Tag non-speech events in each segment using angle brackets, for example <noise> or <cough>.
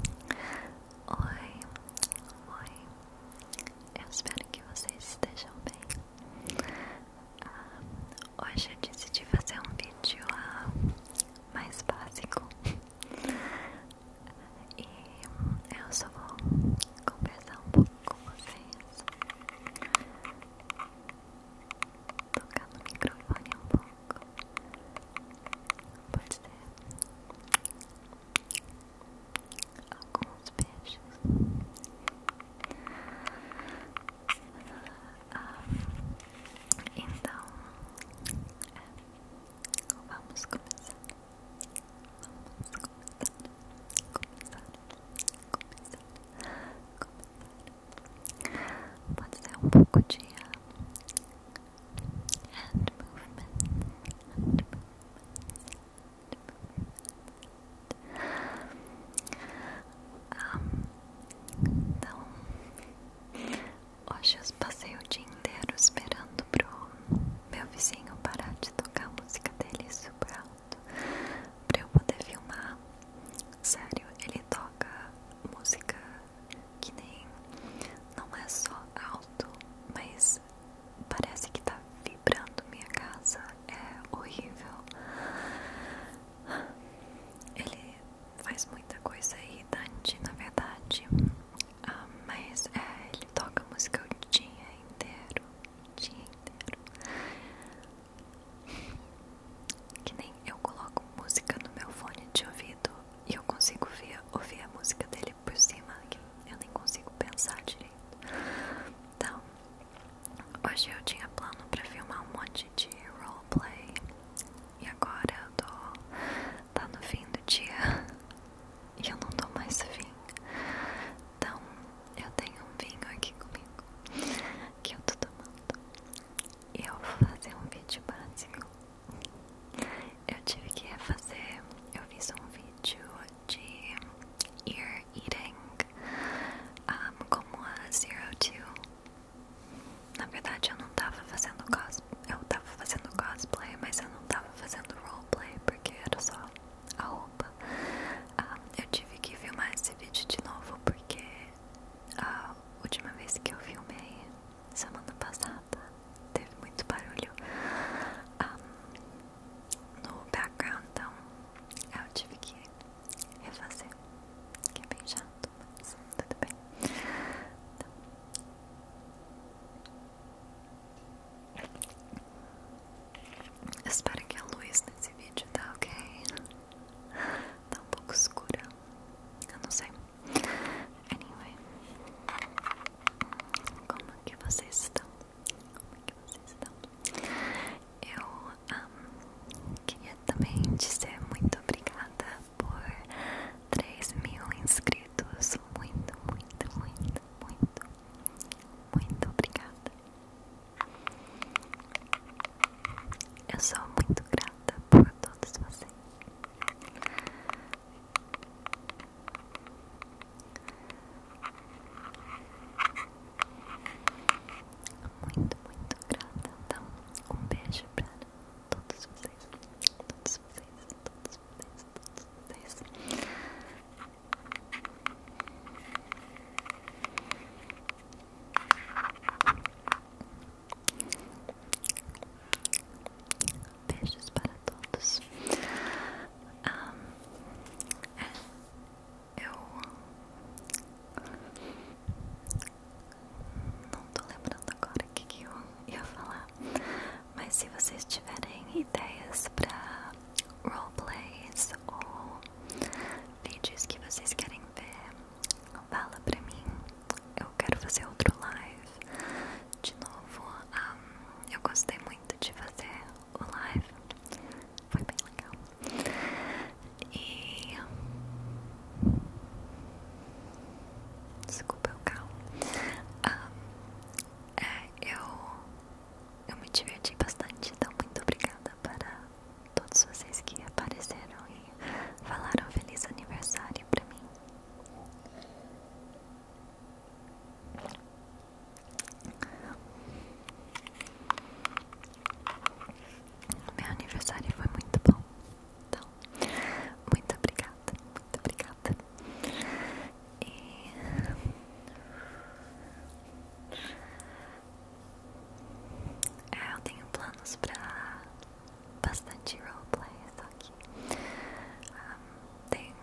Oi, oi, eu espero que vocês estejam bem. Ah, hoje eu decidi fazer um vídeo ah, mais básico e eu só vou conversar um pouco com vocês, tocar no microfone um pouco branco. Pode ser alguns beijos. Ah, então, é, vamos começar. Vamos começar. Começar. Começar. Começar. Pode ser um pouco de hand movements, hand movements, hand movements. Um, então, hoje eu passei o dia inteiro esperando pro meu vizinho parar de tocar a música dele super alto pra eu poder filmar. Sério, ele toca música que nem não é só alto, mas parece que tá vibrando minha casa. É horrível. Ele faz muita coisa irritante, na verdade. Ah, mas é, ele toca música o dia inteiro. O dia inteiro. Que nem eu coloco música no meu fone de ouvido e eu consigo ouvir a música dele por cima, que eu nem consigo pensar direito. Então, hoje eu tinha plano pra filmar um monte de roleplay. E agora eu tô. tá no fim do dia. <laughs> E eu não tô mais vinho. Então, eu tenho um vinho aqui comigo. Que eu tô tomando. E eu vou fazer um vídeo básico eu tive que fazer Eu fiz um vídeo de ear eating como a Zero Two. Na verdade, eu não tava fazendo cosplay. Eu tava fazendo cosplay, mas eu não tava fazendo roleplay porque era só a roupa. eu tive que filmar esse vídeo de novo porque ah, a última vez que eu filmei semana passada teve muito barulho ah, no background, então eu tive que refazer, que é bem chato, mas tudo bem. Então, espero que a luz nesse vídeo tá ok. Tá um pouco escura. Eu não sei. Anyway, como é que vocês estão? Como é que vocês estão? Eu um, queria também dizer muito obrigada por 3 mil inscritos. Muito, muito, muito, muito, muito obrigada. Eu sou muito grata por todos vocês. Muito, muito grata. Então, um beijo para todos vocês. Todos vocês, todos vocês, todos vocês. Beijos para todos. É, eu não tô lembrando agora o que, eu ia falar, mas se vocês tiverem ideias para roleplays ou vídeos que vocês querem ver, fala pra mim eu quero fazer outro live de novo. eu gostei muito de fazer o live, foi bem legal. E desculpa o carro. É, eu, eu me diverti bastante, então muito obrigada para todos vocês que apareceram e falaram feliz aniversário para mim. Meu aniversário foi muito bom. Então, muito obrigada, muito obrigada. E eu tenho planos para bastante roleplay, só que ah, tem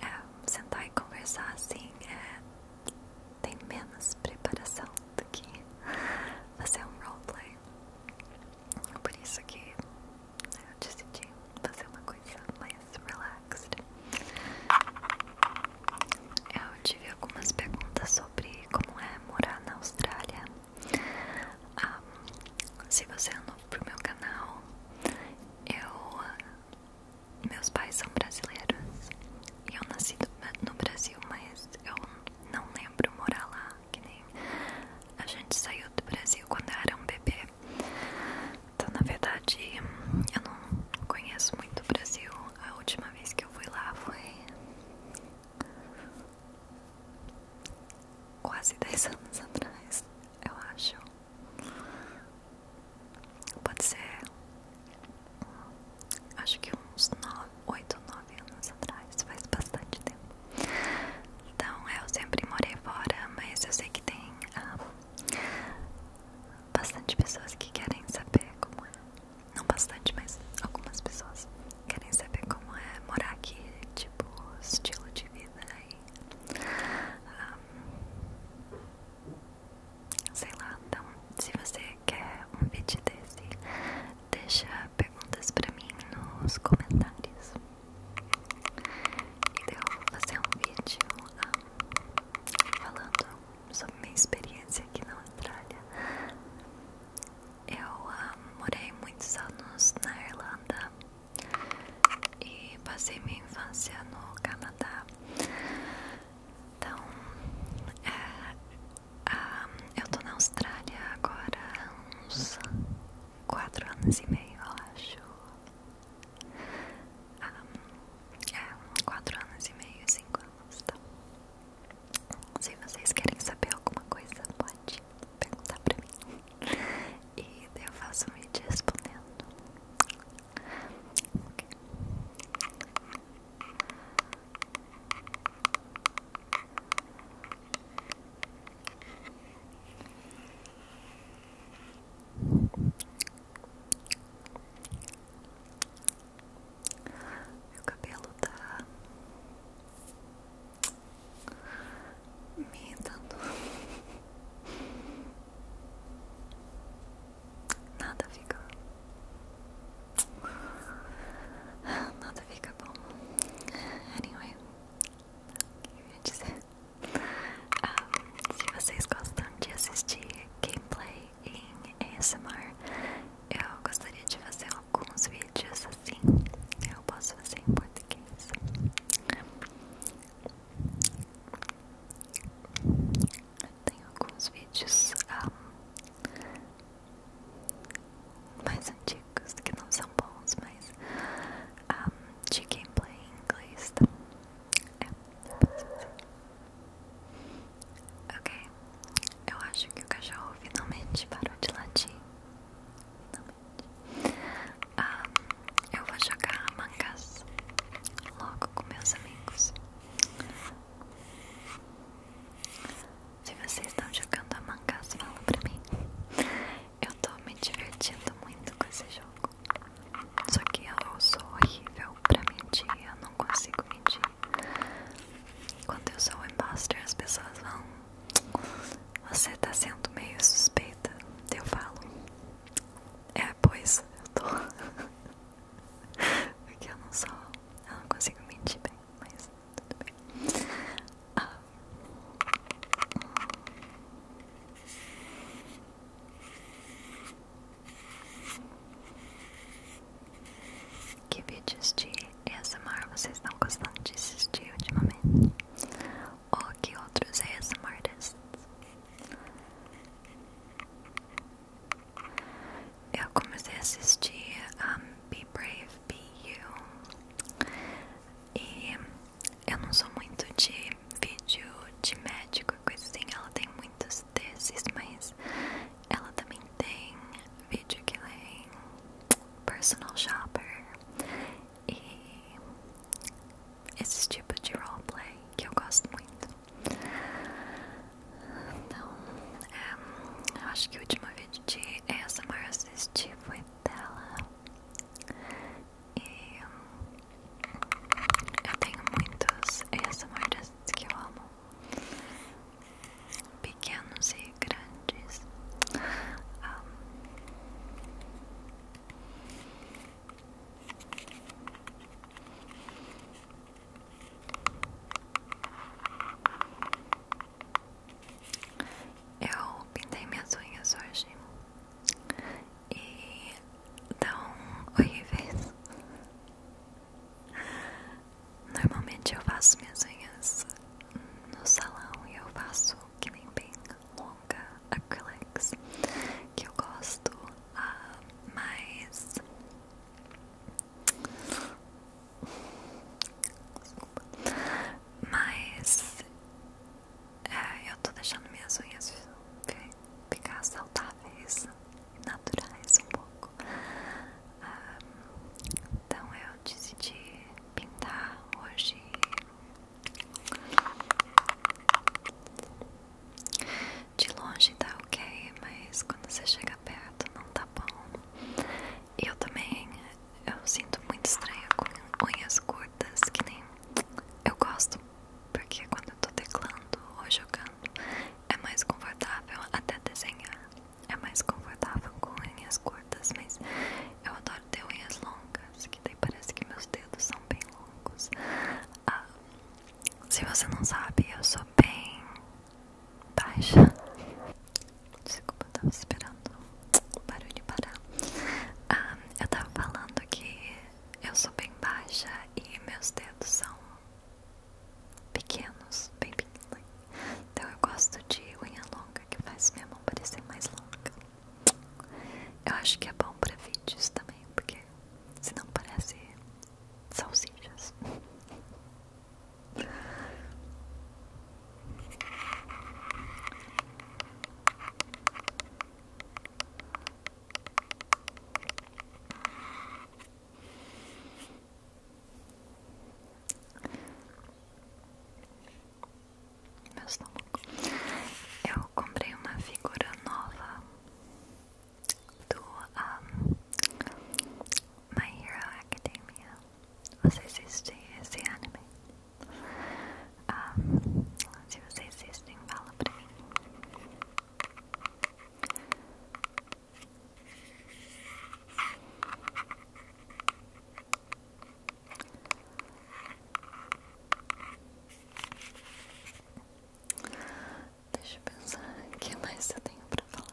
é, sentar e conversar assim é, tem menos preparação do que <laughs> fazer um roleplay. Por isso que eu decidi fazer uma coisa mais relaxed. Eu tive algumas perguntas sobre como é morar na Austrália ah, se você é novo pro meu canal, eu. Ah, meus pais são brasileiros. E eu nasci no Brasil, mas eu não lembro morar lá. Que nem a gente saiu do Brasil quando eu era um bebê. Então, na verdade, eu não conheço muito o Brasil. A última vez que eu fui lá foi quase 10 anos atrás, eu acho. Pode ser, acho que uns 9, 8 ou 9 anos atrás, faz bastante tempo. Então, eu sempre morei fora, mas eu sei que tem ah, bastante pessoas que querem saber como é. Não bastante, mas algumas pessoas querem saber como é morar aqui, tipo, estilo de vida aí. Um, sei lá, então, se você quer um vídeo desse, deixa perguntas pra mim nos comentários. E então, eu vou fazer um vídeo falando sobre minha experiência aqui na Austrália eu ah, morei muitos anos na Irlanda e passei minha infância no Canadá. Então, é, ah, eu tô na Austrália agora há uns 4 anos e meio, eu acho. Um, ah, é, 4 anos e meio, 5 anos, tá? Se vocês querem saber alguma coisa, pode perguntar pra mim. E eu faço um vídeo respondendo. Okay. Meu cabelo tá me irritando. Nada fica. Nada fica bom. Anyway, o que eu ia dizer? Ah, se vocês gostam de assistir gameplay em ASMR, eu gostaria de fazer alguns vídeos assim. Eu posso fazer em português. Tem alguns vídeos ah, mais antigos que não são bons, mas ah, de gameplay em inglês. Tá? é, eu ok, eu acho que o cachorro finalmente parou de latir. Ah, eu vou jogar mangas logo com meus amigos. Se vocês estão jogando a mangas, fala pra mim. Eu tô me divertindo muito com esse jogo. Só que eu sou horrível pra mentir, eu não consigo mentir. Quando eu sou o imposter, as pessoas vão você tá sendo meio suspeita, eu falo. É, pois, eu tô. <laughs> Porque eu não sou. Eu não consigo mentir bem, mas tudo bem. Ah. Que vídeos de ASMR vocês estão gostando de assistir ultimamente? Ou que outros ASMRs? Eu comecei a assistir um, Be Brave, Be You E eu não sou muito de vídeo de médico e coisa assim Ela tem muitos desses, mas ela também tem vídeo que lê personal shopper e esse tipo de roleplay que eu gosto muito. Então, é, acho que o último vídeo de ASMR assisti foi dela. E eu tenho muitos ASMRs que eu amo pequenos e grandes. Ah. Eu pintei minhas unhas hoje e tão horríveis. Normalmente eu faço minhas unhas no salão e eu faço que nem bem longa acrylics que eu gosto, uh, mas Desculpa. mas é, eu tô deixando minhas unhas ficar saudáveis, naturais um pouco então eu decidi pintar hoje. De longe tá ok, mas quando você chega perto não tá bom. Eu também eu sinto muito estranho com unhas curtas, que nem eu gosto, porque quando eu tô teclando ou jogando é mais confortável até desenhar é mais confortável com unhas curtas, mas eu adoro ter unhas longas, que daí parece que meus dedos são bem longos. Ah, se você não sabe, eu sou bem baixa. Desculpa, eu tava esperando o barulho parar. Ah, eu tava falando que eu sou bem baixa e meus dedos são pequenos, bem pequenos. Então eu gosto de unha longa que faz minha mão parecer mais longa. Eu acho que é bom pra vídeos também, porque senão parece salsichas. Meu estômago. Eu comprei uma figura nova do ah, My Hero Academia. Você assiste esse anime? Um, ah, se vocês assistem, fala pra mim. Deixa eu pensar o que mais eu tenho pra falar.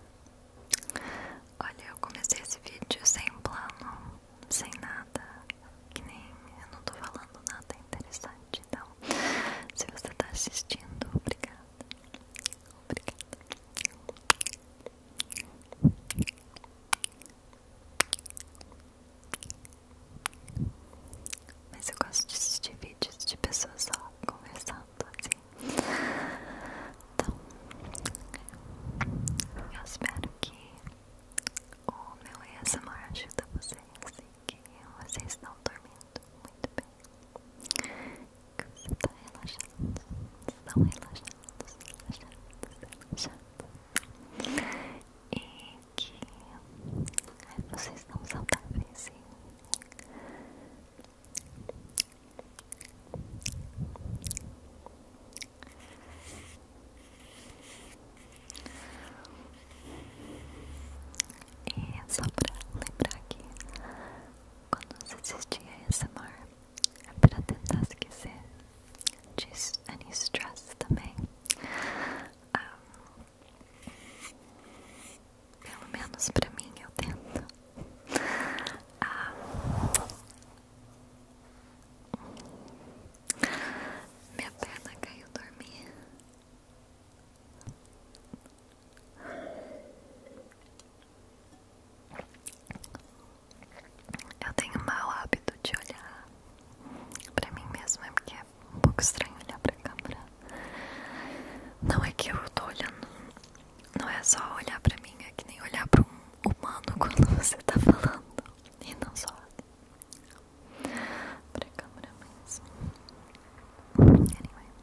Olha, eu comecei esse vídeo sem plano, sem nada, que nem eu não tô falando nada interessante. Então, se você tá assistindo, obrigada. Obrigada. Mas eu gosto de assistir vídeos de pessoas só conversando assim. Então, eu espero que o meu ASMR ajuda vocês e que vocês estão dormindo muito bem você tá relaxando, estão relaxados, relaxados, relaxados e que vocês estão saudáveis e só pra lembrar que quando você assistir a essa pra tentar esquecer disso, any também um, ah, pelo menos pra mim eu tento um, ah, minha perna caiu dormir eu tenho mau hábito de olhar pra mim mesma, é porque é um pouco estranho olhar pra câmera. Não é que eu tô olhando, não é só olhar pra mim, é que nem olhar pra um humano <laughs> quando você tá falando. E não só pra câmera mesmo. Anyway.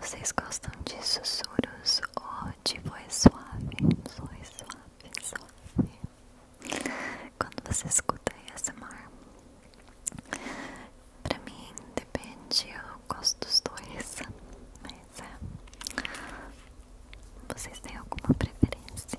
Vocês gostam de sussurros ou de voz suave? Voz suave, suave. Quando você escuta mar pra mim depende, eu gosto dos dois, mas é. Vocês têm alguma preferência?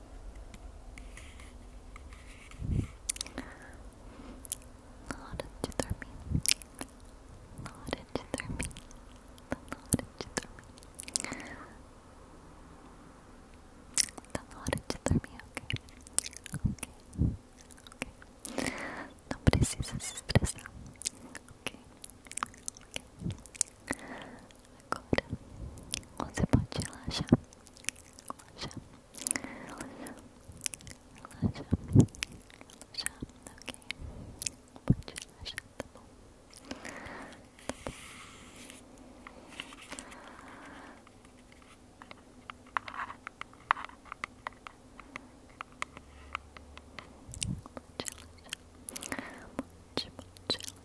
Na hora de dormir. Na hora de dormir. Na de dormir. Tá de dormir, ok? Ok, ok. Não precisa se expressar, ok? Ok. Agora você pode relaxar. relaxa relaxa relaxa relaxa Ok. Pode relaxar, tá bom. Tá bom. Pode relaxar. Pode, pode relaxar.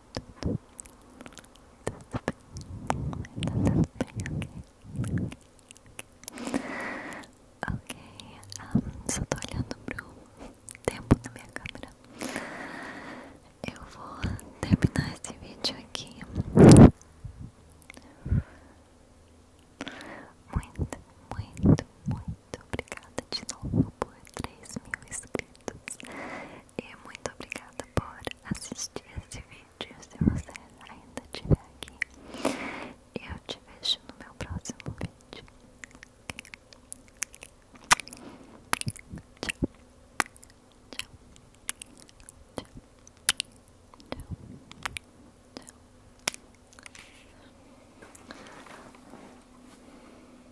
tudo, tudo bem, tudo bem, ok, ok, só tô olhando pro tempo da minha câmera, eu vou terminar esse vídeo aqui, muito, muito, muito obrigada de novo por 3 mil inscritos e muito obrigada por assistir esse vídeo. Se você ainda estiver aqui, eu te vejo no meu próximo vídeo. Tchau. Tchau. Tchau. Tchau. Tchau.